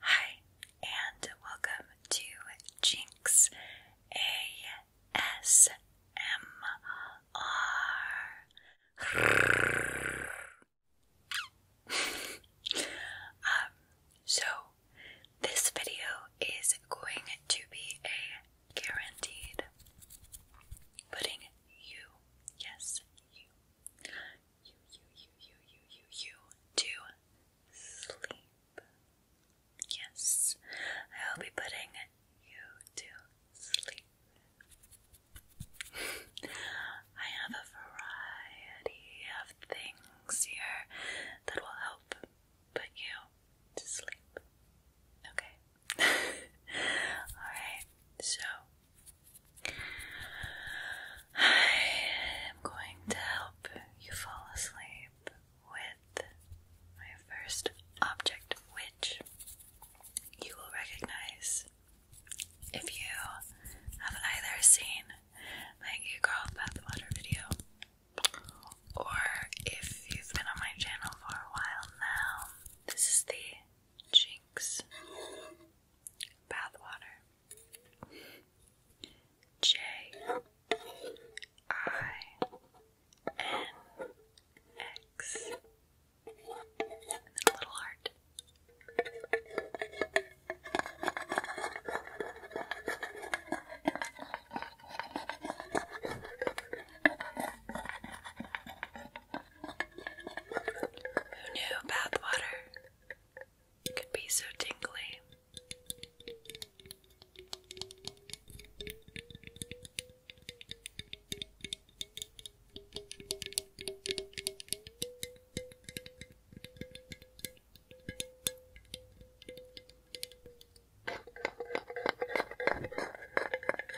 Hi, and welcome to Jinx ASMR. um, so this video is going to be a guaranteed putting you Yes, you. You, you, you, you, you, you, you, sleep. Yes, I will be putting you to sleep. I have a variety of things here that will help put you to sleep. Okay. Alright, so I am going to help you fall asleep with my first object, which you will recognize if you have either seen my Girl Bathwater video or if you've been on my channel for a while now. This is the Jinx, Bathwater, J I N X, little heart. Who knew bathwater could be so tingly?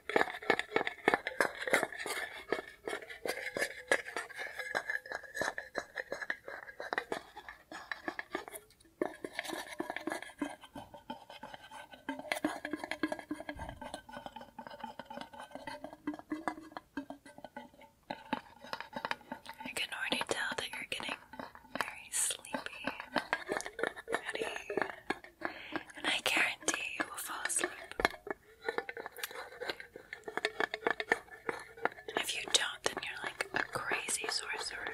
I can already tell that you're getting very sleepy ready. And I guarantee you will fall asleep. If you don't, then you're like a crazy sorcerer.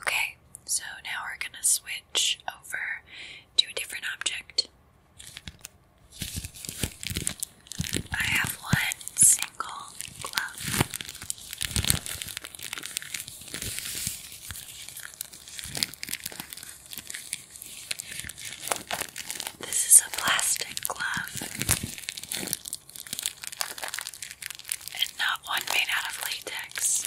Okay, so now we're going to switch over to a different object. I have one single glove. This is a plastic glove, and not one made out of latex.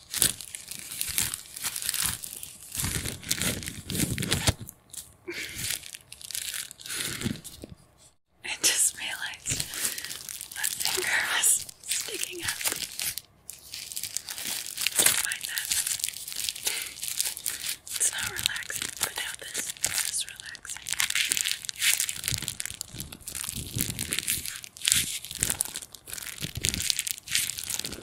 I just realized my finger was sticking up. Don't mind that. It's not relaxing without this. It's relaxing.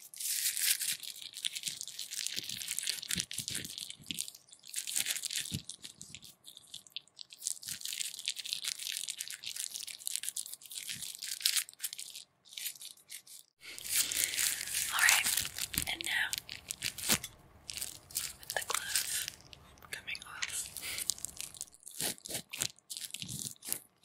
All right, and now with the glove coming off. The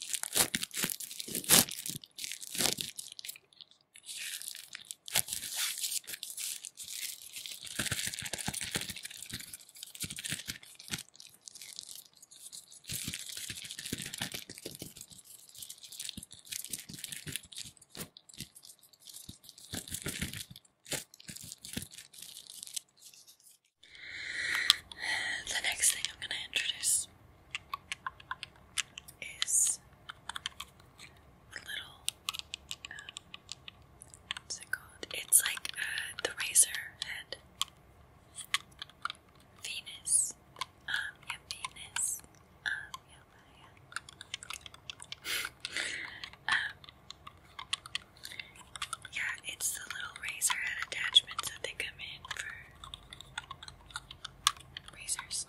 next thing I'm going to introduce is little. Um, what's it called? It's like uh, the razor head. Venus. Um, yeah, Venus. Um, yeah, yeah. yeah, it's the little razor head attachments that they come in for razors.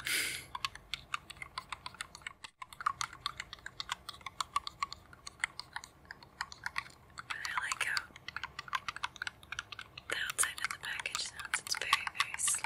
I like how the outside of the package sounds. It's very, very sleep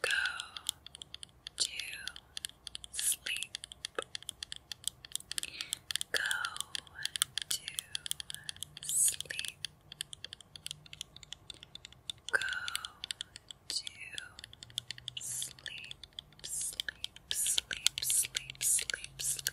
Go to sleep. Go to sleep. Go to sleep. Sleep, sleep, sleep, sleep, sleep.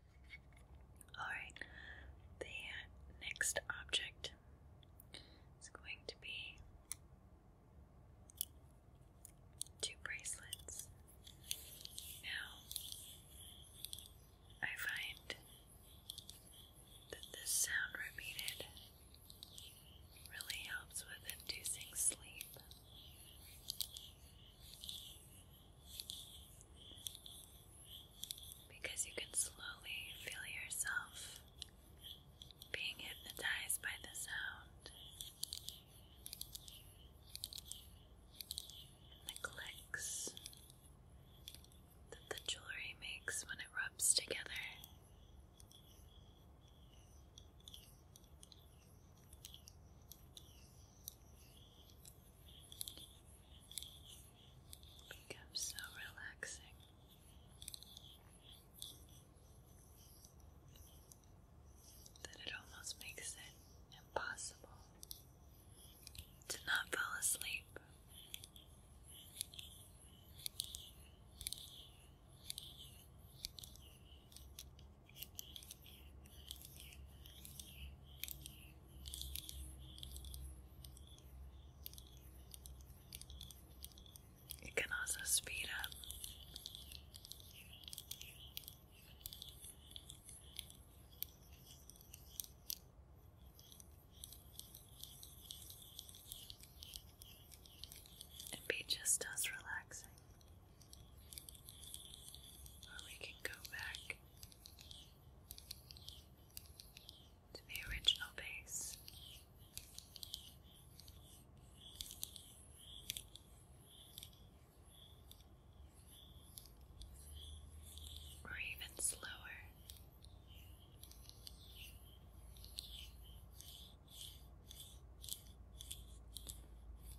Alright, the next object is going to be two bracelets. Now, I find that this sound repeated really helps with inducing sleep. Because you can slowly feel yourself being hypnotized by the sound, the clicks that the jewelry makes when it rubs together becomes so relaxing. That it almost makes it impossible to not fall asleep. It can also speed up. And be just as relaxing. we can go back to the original base. Or even slower.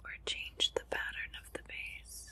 Or change the pattern of the base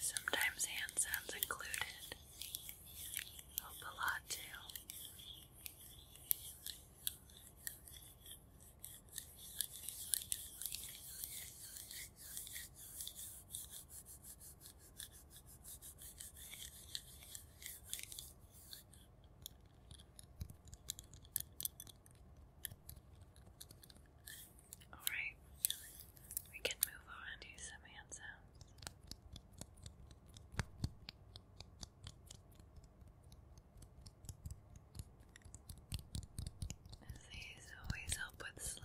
Sometimes hand sounds included of the lot too. All right, we can move on to some hand sounds. These always help with sleep.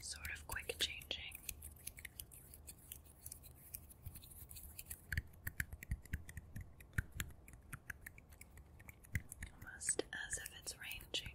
Sort of quick changing. Almost as if it's rain changing.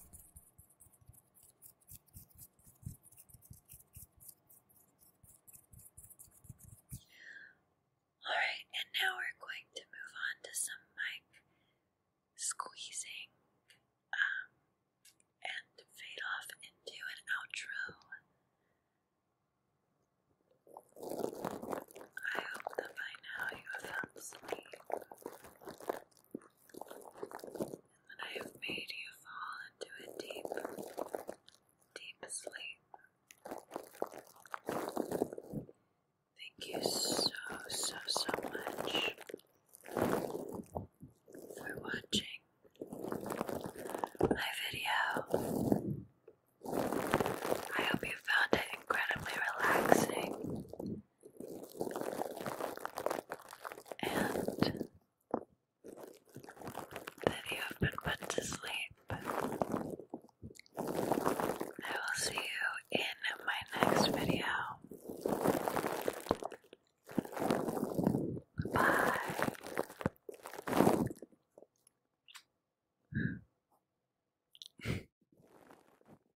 Alright, and now we're going to move on to some mic squeezing um, and fade off into an outro. I hope that by now you have found sleep. And I have made you fall into a deep, deep sleep. Thank you so, so, so much for watching my video. I hope you found it incredibly relaxing and that you have been put to sleep. I will see you in my next video. Bye.